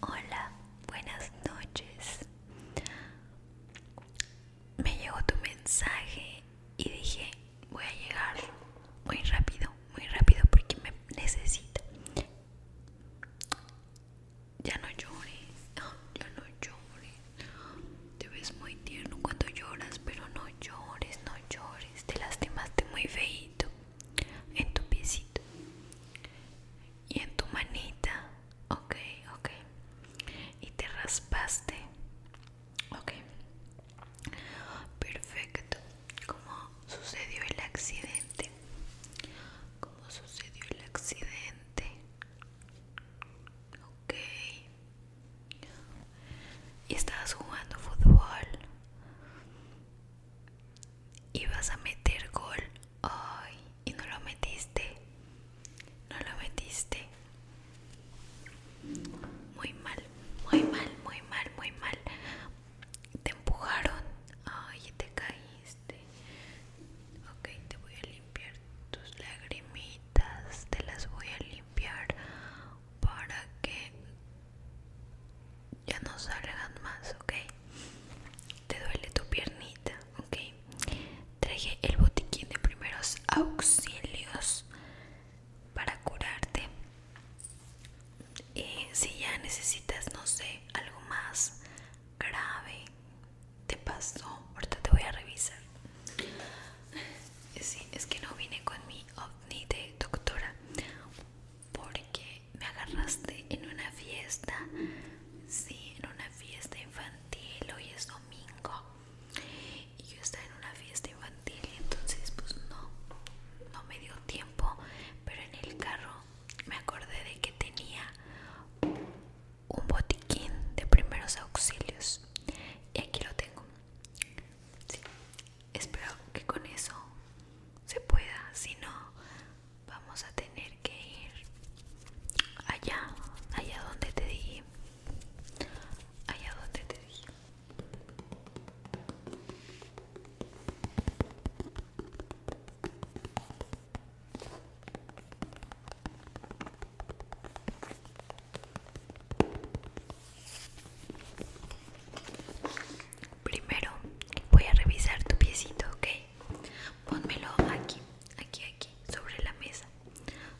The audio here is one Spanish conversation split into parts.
Hola, buenas noches. Me llegó tu mensaje y dije, voy a llegar muy rápido, muy rápido porque me necesita. Ya no llores, ya no llores. Te ves muy tierno cuando lloras, pero no llores, no llores. Te lastimaste muy feito en tu piecito y en tu manita. Ok, ok. Y te raspaste. Ok. Perfecto. Como sucedió el accidente cómo sucedió el accidente. Ok. Y estabas jugando fútbol. Ibas a meter gol. Ay, y no lo metiste. No lo metiste. Muy mal, muy mal, muy mal, muy mal. Te empujaron. Ay, te caíste. Este, ok te voy a limpiar tus lagrimitas te las voy a limpiar para que ya no salgan más ok te duele tu piernita ok traje el botiquín de primeros auxilios para curarte y eh, si ya necesitas no sé algo más grave te pasó. Ahorita te voy a revisar. Sí, es que no vine con mi ovni de doctora porque me agarraste en una fiesta. Sí, en una fiesta infantil. Hoy es domingo y yo estaba en una fiesta infantil y entonces pues no, no me dio tiempo. Pero en el carro me acordé de que tenía un botiquín de primeros auxilios y aquí lo tengo. Espero que con eso se pueda, si no vamos a tener que ir allá, allá donde te dije, allá donde te dije. Primero voy a revisar tu piecito, ¿ok? Pónmelo aquí, aquí, aquí, sobre la mesa,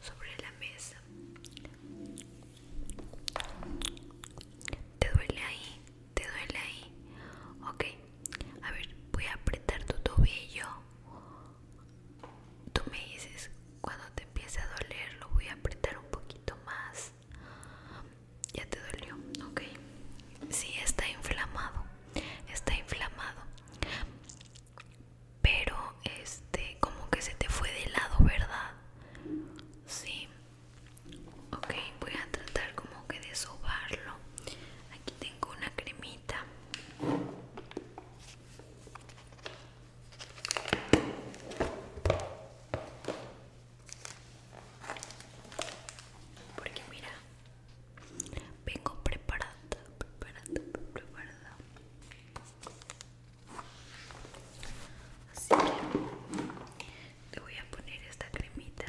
sobre la mesa. ¿Te duele ahí? ¿Te duele ahí? Ok. A ver, voy a apretar tu tobillo. Tú me dices, cuando te empiece a doler, lo voy a apretar un poquito más. Ya te dolió, ok. Sí, está inflamado. Está inflamado. Pero, este, como que se te fue de lado, ¿verdad? Sí ok voy a tratar como que de sobarlo aquí tengo una cremita porque mira vengo preparada preparada preparada así que le voy a poner esta cremita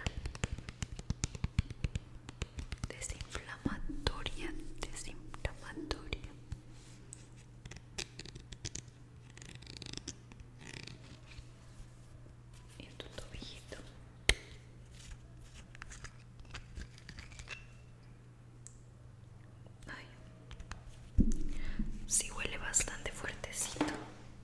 desinflamatoria desinflamatoria en tu tobijito Ay, huele bastante fuertecito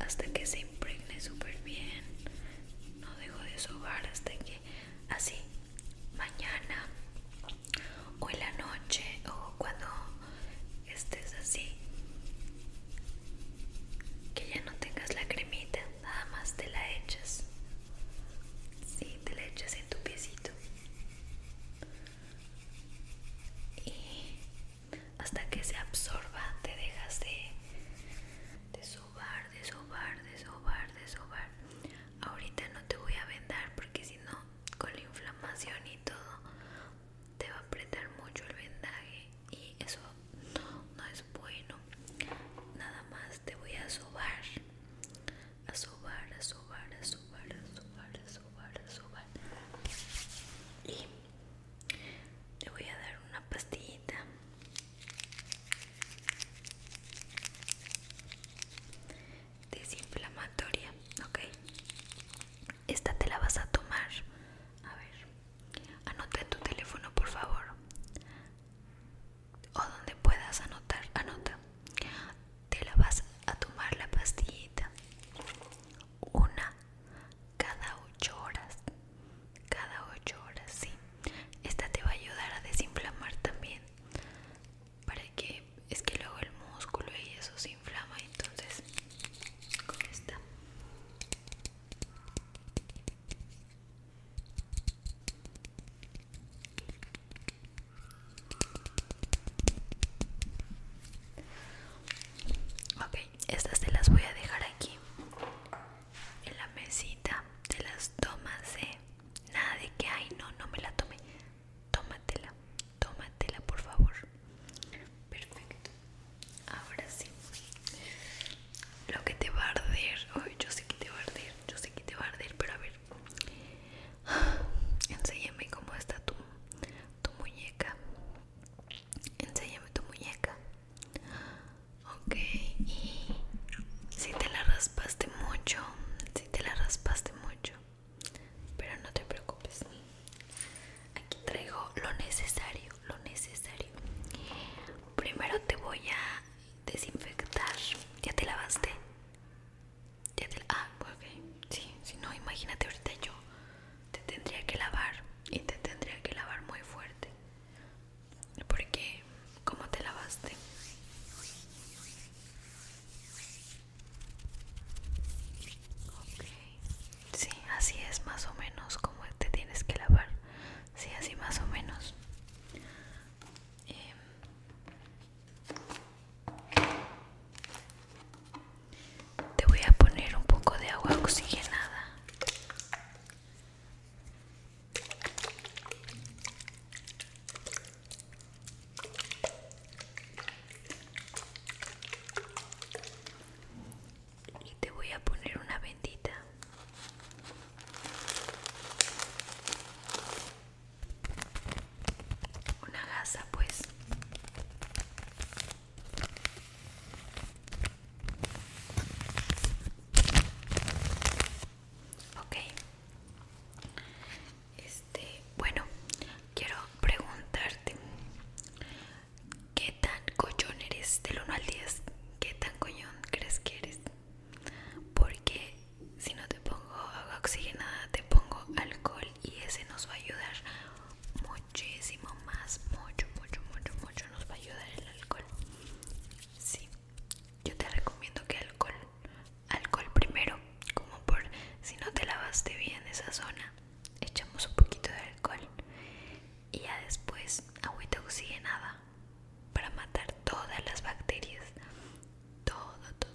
hasta que se impregne súper bien. No dejo de sobar hasta que así mañana o en la noche o cuando estés así que ya no tengas la cremita, nada más te la echas. si te la echas en tu piecito. Y hasta que se absorba te dejas de, de sobar, de sobar, de sobar, de sobar. Ahorita no te voy a vendar porque si no, con la inflamación y todo, te va a apretar mucho el vendaje y eso no, no es bueno. Nada más te voy a sobar, a sobar, a sobar, a sobar, a sobar, a sobar, a sobar. Y le voy a dar una pastillita desinflamatoria ok esta te la vas a tomar a ver anota en tu teléfono por favor o donde puedas anotar anota te la vas a tomar la pastillita una cada ocho horas cada ocho horas sí esta te va a ayudar a desinflamar también para que es que luego el músculo y eso se inflama entonces con esta estas te las voy a dejar aquí en la mesita. Te las tomas, eh. Nada de que, hay, no, no me la tome. Tómatela, tómatela, por favor. Perfecto. Ahora sí. Lo que te va a arder. yo sé que te va a arder. Yo sé que te va a arder, pero a ver. Ah, enséñame cómo está tu muñeca. Enséñame tu muñeca. Ok, y si te la raspaste mucho, si te la raspaste mucho, pero no te preocupes. Aquí traigo lo necesario, lo necesario. Primero te voy a desinfectar. ¿Ya te lavaste? ¿Ya te Ah, ok. si no, imagínate ahorita yo te tendría que lavar y te tendría que lavar muy fuerte porque como te lavaste sí así es más o menos como te tienes que lavar sí así más o menos eh, te voy a poner un poco de agua oxigenada. Y te voy a poner una bendita. Una gasa, pues. Ok. Este, bueno, quiero preguntarte ¿Qué tan coñón eres? Del 1 al 10, ¿qué tan coñón crees que eres? Porque si no te pongo agua oxigenada, te pongo alcohol y ese nos va a ayudar muchísimo más, mucho, mucho, mucho, mucho nos va a ayudar el alcohol. Sí, yo te recomiendo que alcohol, alcohol primero, como por si no te lavaste bien esa zona, echamos un poquito de alcohol y ya después agüita oxigenada para matar todas las bacterias, todo, todo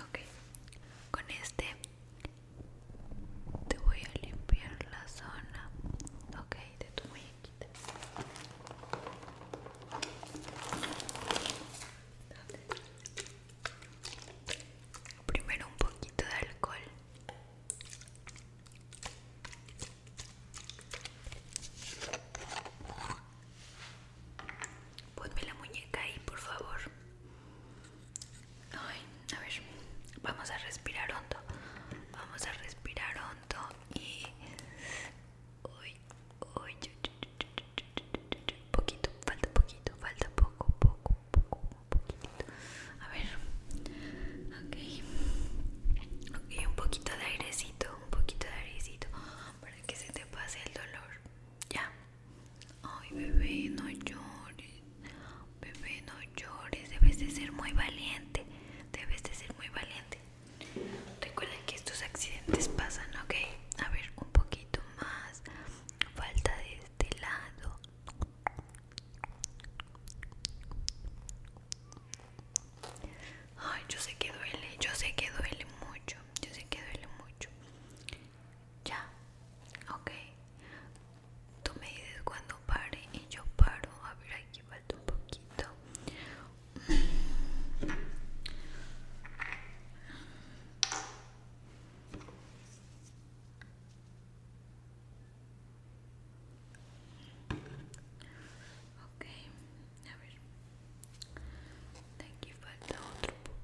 Ok, con este te voy a limpiar la zona, ok, de tu muñequita. ¿Dónde? Primero un poquito de alcohol. Ponme la muñeca ahí, por favor. a ver, vamos a respirar hondo. Vamos a respirar hondo y... poquito, falta poquito, falta poco, poco, un A ver, okay un poquito de airecito, un poquito de airecito para que se te pase el dolor. Ya. Ay, bebé, no llores. Bebé, no llores. Debes de ser muy valiente. Debes de ser muy valiente. Recuerda que estos accidentes pasan, ok. A ver, un poquito más. Falta de de este lado Ay, yo sé que duele, yo sé que duele mucho, yo sé que duele mucho. Ya, ok. Tú me dices cuando pare y yo paro. A ver, aquí falta un poquito. Okay, a ver. De aquí falta otro,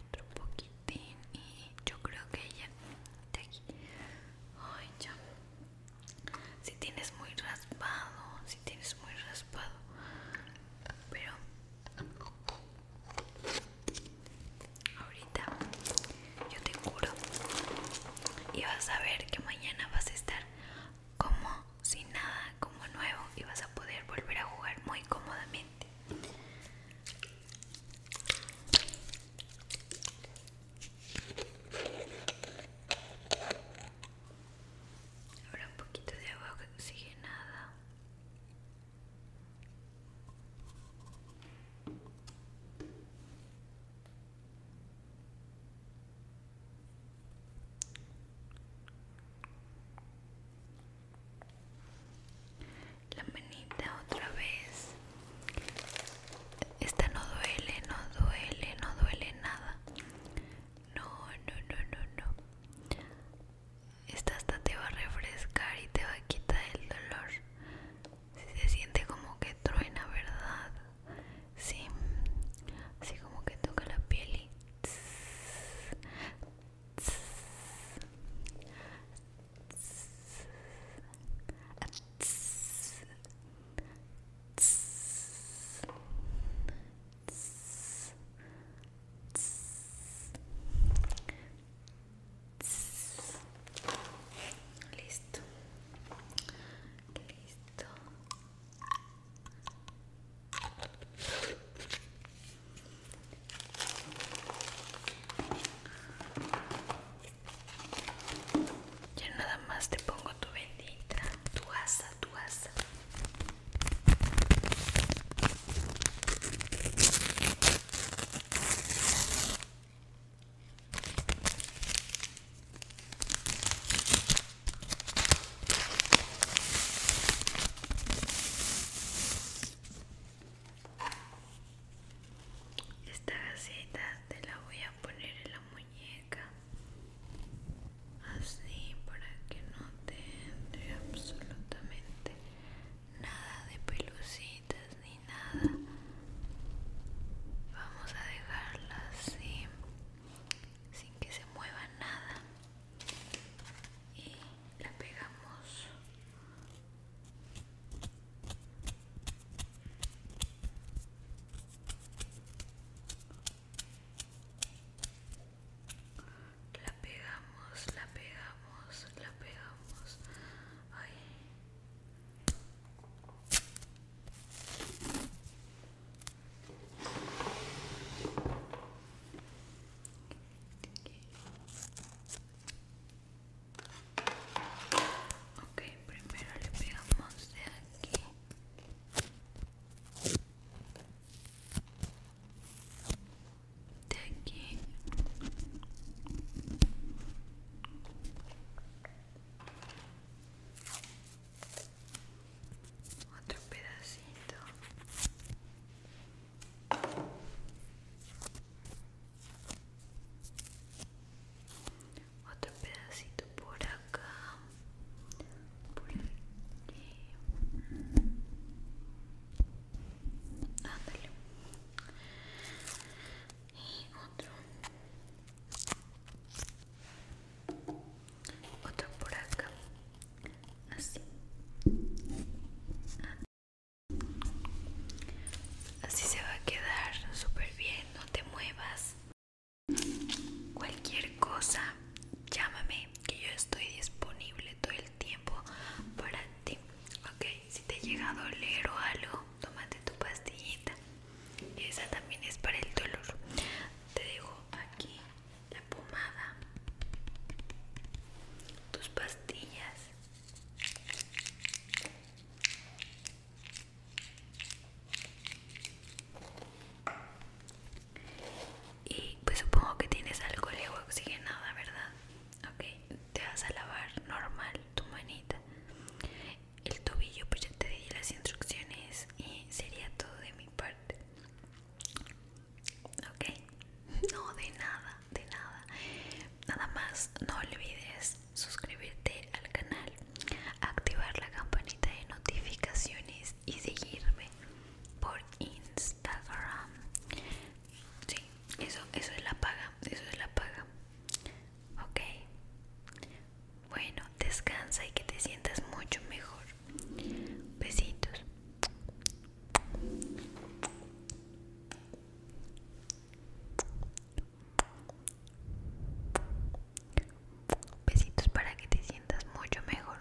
otro poquitín y yo creo que ya de aquí. ya. Si tienes muy raspado, si tienes muy raspado, pero Ahorita yo te juro y vas a ver que mañana vas a estar como sin nada, como nuevo y vas a poder volver a jugar muy cómodamente. Ahora un poquito de agua oxigenada. La manita otra vez. Esta no duele, no duele, no duele nada. No, no, no, no, no. Esta hasta te va a refrescar y te va a quitar el dolor. Si se siente como que truena, ¿verdad? Sí, así como que toca la piel y. Listo. Listo. Ya nada más te pongo tu bendita, tu asa, tu asa. Esta gaceta te la voy a poner en la muñeca así para que no te absolutamente nada de pelucitas ni nada vamos a dejarla así sin que se mueva nada y la pegamos la pegamos, la pegamos, la pegamos. Ok, primero le pegamos de aquí de aquí otro pedacito otro pedacito por acá y otro otro por acá así así se va a quedar súper bien no te muevas cualquier cosa llámame que yo estoy disponible todo el tiempo para ti. Ok, si te llega a doler o algo, tómate tu pastillita. Esa también es para el dolor. Te dejo aquí la pomada, tus pastillas. Y pues supongo que tienes algo alcohol y sigue nada ¿verdad? Ok, te vas a lavar normal tu manita. El tobillo, pues ya te di las instrucciones y sería todo de mi parte. Ok, no de nada, de nada. Nada más, no olvides suscribirte al canal, activar la campanita de notificaciones y seguirme por Instagram. Sí, eso, eso es la paga, eso es la paga. Ok. Bueno, descansa y que te sientas mucho mejor. Besitos. Besitos para que te sientas mucho mejor.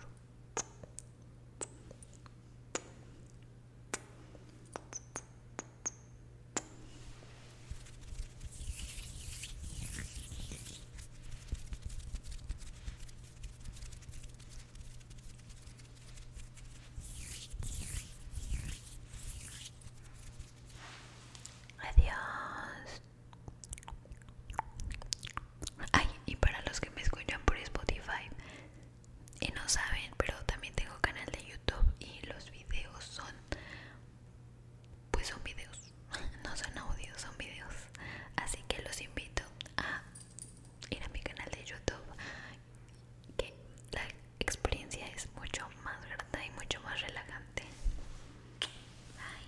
Adiós. Ay, y para los que me escuchan por Spotify y no saben, pero también tengo canal de YouTube y los videos son pues son videos, no son audios, son videos. Así que los invito a ir a mi canal de YouTube que la experiencia es mucho más grata y mucho más relajante. Bye